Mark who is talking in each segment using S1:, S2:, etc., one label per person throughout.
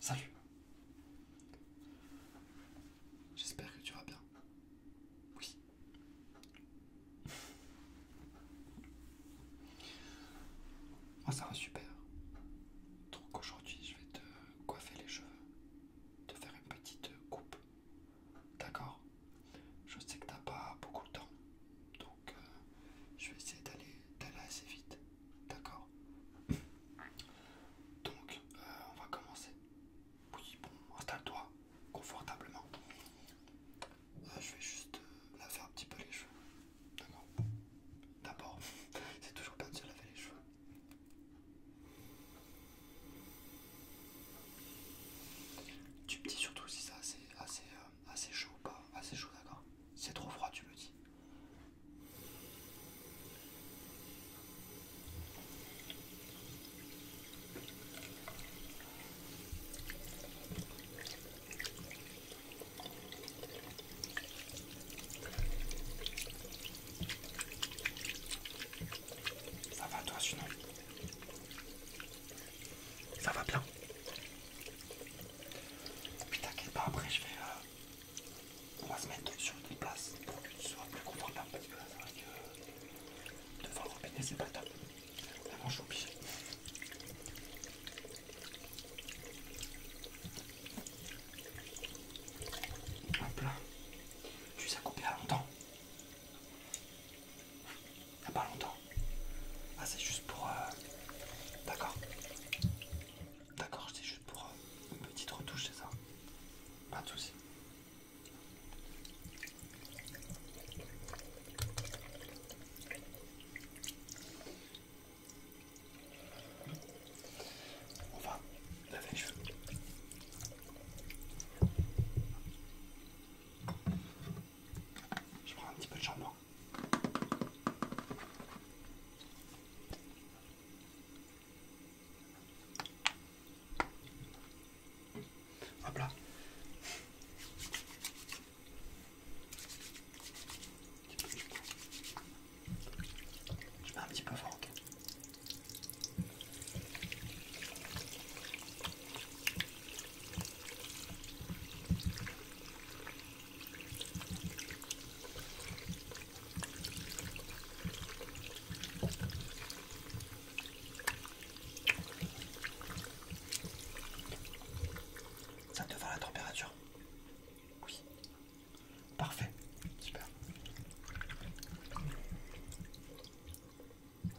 S1: Salut. J'espère que tu vas bien. Oui. Moi ça va super. Donc aujourd'hui je vais te coiffer les cheveux. Te faire une petite coupe. D'accord Je sais que t'as pas beaucoup de temps. Donc euh, je vais essayer d'aller assez vite. D'accord. Donc, euh, on va commencer. Oui, bon, installe-toi confortablement. Euh, je vais juste euh, laver un petit peu les cheveux. D'accord. D'abord, c'est toujours bien de se laver les cheveux. Tu me dis surtout si ça c'est assez, Assez ah, chaud pas Assez ah, chaud d'accord. C'est trop froid tu me dis. Ça va toi sinon Ça va bien puis t'inquiète pas, après je vais. Euh, on va se mettre sur une place pour que tu sois plus confortable parce que là c'est vrai que devant le robinet c'est pas top. Vraiment je suis obligé. Hop là. Tu sais coupé à longtemps. Il n'y a pas longtemps. Ah, c'est juste pour. Euh, d'accord. D'accord, c'est juste pour euh, une petite retouche, c'est ça Pas de soucis. On va laver les cheveux. Je prends un petit peu de shampoing. Hop là. Je mets un petit peu fort, ok. Ça te va la température Oui. Parfait. Super.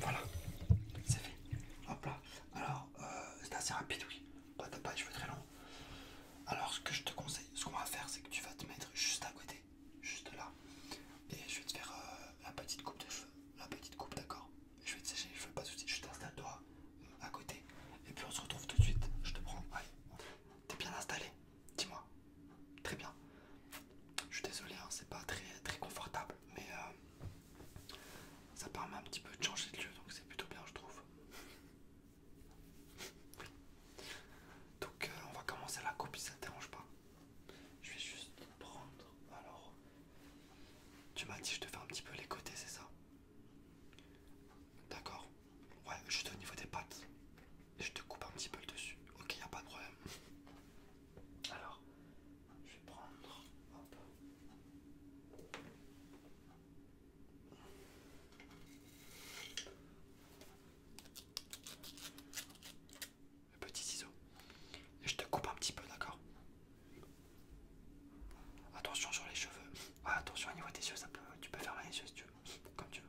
S1: Voilà, c'est fait. Hop là. Alors, euh, c'est assez rapide, oui. Pas de pas, je veux très long. Alors, ce que je te conseille, ce qu'on va faire, c'est que tu vas te mettre juste à côté, juste là. Et je vais te faire euh, la petite coupe de cheveux, la petite coupe, d'accord je vais te sécher je fais pas de soucis, je t'installe toi à côté et puis on se retrouve tout de suite, je te prends, allez, t'es bien installé, dis-moi, très bien, je suis désolé, hein, c'est pas très, très confortable, mais euh, ça permet un petit peu de changer de lieu, donc c'est plutôt bien je trouve. Oui. Donc euh, on va commencer la coupe si ça te dérange pas. Je vais juste prendre alors tu m'as dit, je te fais un petit peu les côtés, c'est ça D'accord. Ouais, juste au niveau des pattes. Et je te coupe un petit peu le dessus. Ok, y a pas de problème. Alors, je vais prendre. Le petit ciseau. Et je te coupe un petit peu, d'accord Attention sur les cheveux. Ah, attention au niveau des yeux, ça peut, tu peux fermer les yeux si tu veux, comme tu veux.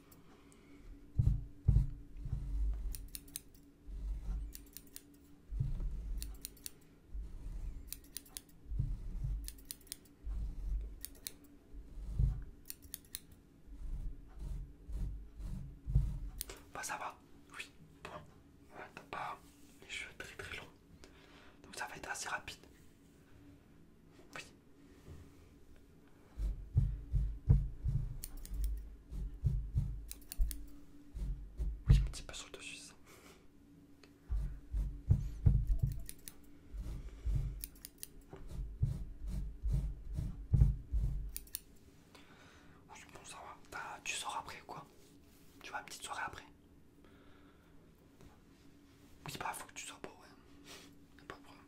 S1: Bah ça va, oui, bon, t'as pas les cheveux très très longs, donc ça va être assez rapide. Oui, oui, un petit peu sur le dessus, ça. bon, ça va. Bah, tu sors après quoi Tu vas à une petite soirée après Oui, c'est pas, faut que tu sois pas ouais. Pas de problème.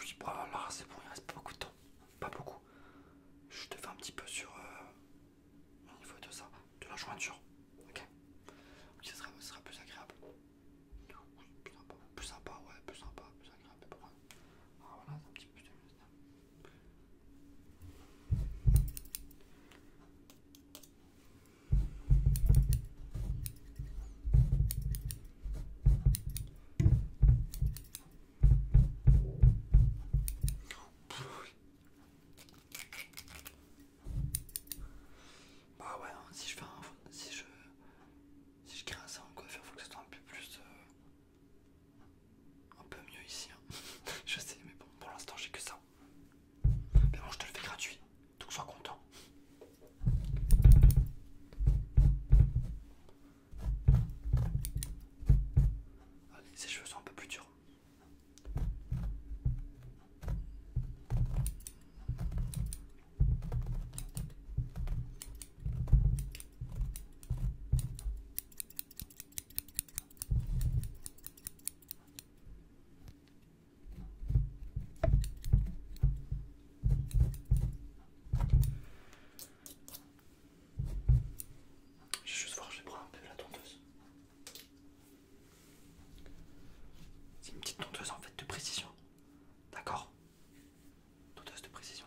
S1: Oui, bon, bah, là, c'est bon, il reste pas beaucoup de temps. Pas beaucoup. Je te fais un petit peu sur euh, au niveau de ça, de la jointure. Ok. ça ce sera, sera plus agréable. plus sympa, ouais, plus sympa, plus agréable, ah, voilà, c'est un petit peu. Bah ouais, hein, si je fais un, si je si je crée un en quoi faire faut que ce soit un peu plus euh, un peu mieux ici. Hein. je sais, mais bon, pour l'instant j'ai que ça je te le fais gratuit, tout sois content. Ces ses cheveux sont un peu plus durs. Je vais juste voir, je vais prendre un peu la tondeuse. C'est une petite tondeuse en fait de précision. D'accord Tondeuse de précision.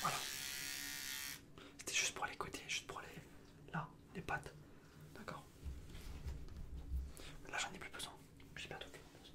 S1: Voilà. C'était juste pour les côtés, juste pour les... Là, les pattes. D'accord. Là, j'en ai plus besoin. J'ai bientôt plus besoin.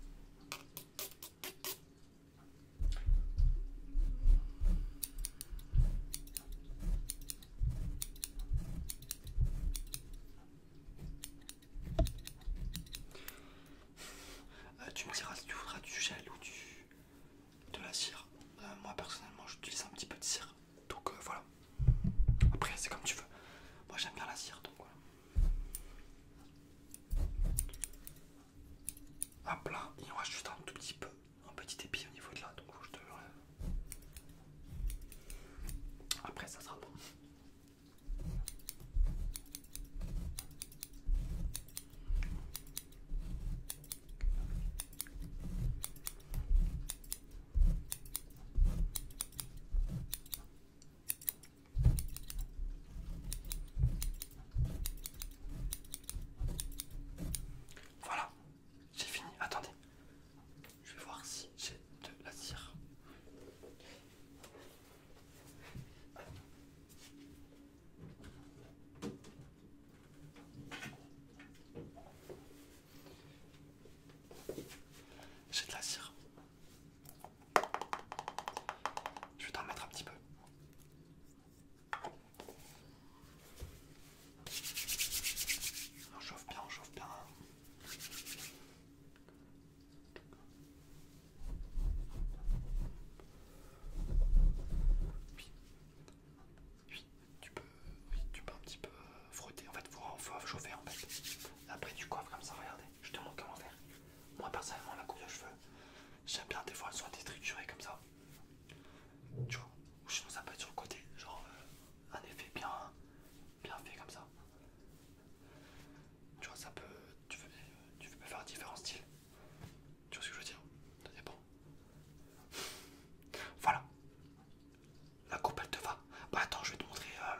S1: Euh, tu me diras si tu voudras du gel ou du, de la cire. Euh, moi personnellement j'utilise un petit peu de cire. Donc euh, voilà. Après, c'est comme tu veux. Moi, j'aime bien la cire, donc voilà. Hop là, il reste juste un tout petit peu, un petit épi au niveau de là, donc faut que je te Après, ça sera bon. Voilà, j'ai fini. Attendez, je vais voir si j'ai de la cire. J'ai de la cire. Je vais t'en mettre un petit peu. On chauffe bien, on chauffe bien tu peux un petit peu euh, frotter. En fait, faut, chauffer en fait. Après, tu coiffes comme ça, regardez. Je te montre comment faire. Moi, personnellement, la coupe de cheveux, j'aime bien des fois elle soit détriturée comme ça. Tu vois, ou sinon ça peut être sur le côté, genre euh, un effet bien, bien fait comme ça. Tu vois, ça peut, tu tu faire différents styles. Tu vois ce que je veux dire Ça dépend. Voilà. La coupe elle te va. Bah attends, je vais te montrer. Euh,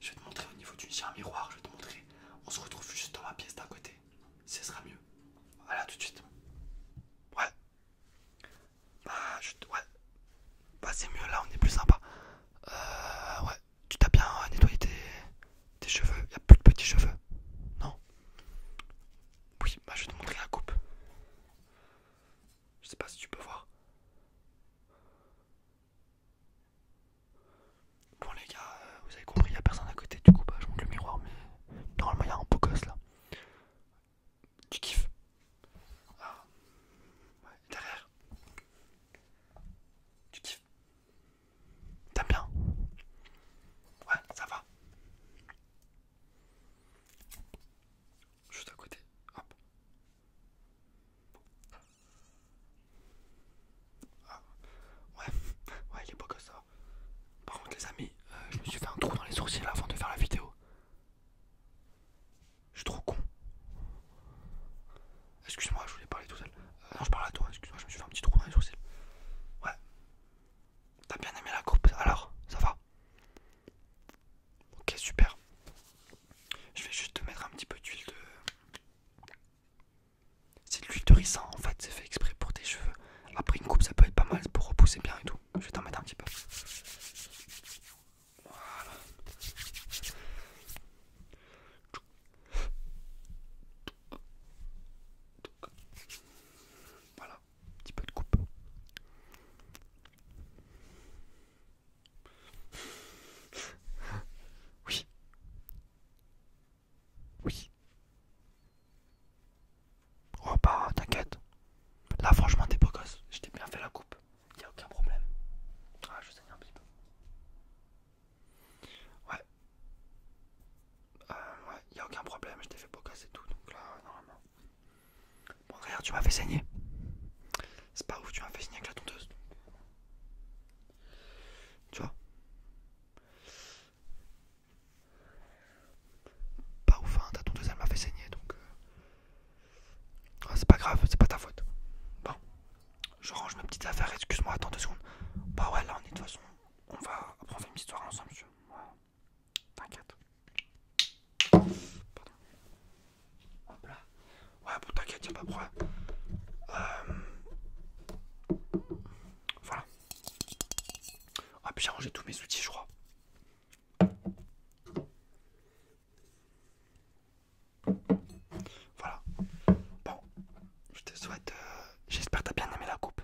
S1: je vais te montrer au niveau du miroir. Je vais te montrer. On se retrouve juste dans ma pièce d'à côté. Ce sera mieux. Voilà tout de suite. Ouais. Bah je bah, c'est mieux là, on est plus sympa. Euh, ouais. Tu t'as bien euh, nettoyé tes, cheveux. Y a plus de petits cheveux. Non. Oui, bah je vais te montrer la coupe. Je sais pas si tu peux voir. Bon les gars, euh, vous avez compris, il n'y a personne à côté, du coup bah, je monte le miroir, mais normalement il y a un beau gosse là. Tu kiffes ah. ouais, Derrière. Tu kiffes T'aimes bien Ouais, ça va juste à côté. Hop. Ah. Ouais, ouais, il est beau comme ça. Par contre, les amis, euh, je me suis fait un trou dans les sourcils avant de faire la vidéo. Je suis trop con. Excuse-moi, je voulais parler tout seul. Euh, non, je parle à toi, excuse-moi, je me suis fait un petit trou dans les sourcils. Ouais. T'as bien aimé la coupe alors Ça va Ok, super. Je vais juste te mettre un petit peu d'huile de. C'est de l'huile de ricin en fait, c'est fait exprès pour tes cheveux. Après une coupe, ça peut être pas mal pour repousser bien et tout. Je vais t'en mettre un petit peu. Voilà. Voilà un petit peu de coupe. Oui. Oui. Oh bah t'inquiète. Là franchement t'es gosse Je t'ai bien fait la coupe. Y a aucun problème. Ah je saigne un petit peu. Ouais. Euh, ouais, y a aucun problème, je t'ai fait bocasser tout, donc là, normalement. Bon, regarde, tu m'as fait saigner. C'est pas ouf, tu m'as fait saigner avec la tondeuse. Tu vois Pas ouf, hein, ta tondeuse, elle m'a fait saigner, donc... Euh. Ah, c'est pas grave, c'est pas ta faute. Bon, je range mes petites affaires, excuse-moi, attends deux secondes. Bah ouais, là, on est de toute façon... On va... apprendre une histoire ensemble, tu vois. T'inquiète. Hop là. Ouais, bon, t'inquiète, y'a pas de problème. Euh, voilà. Ah, puis j'ai rangé tous mes outils, je crois. Voilà. Bon, je te souhaite. Euh, j'espère que t'as bien aimé la coupe.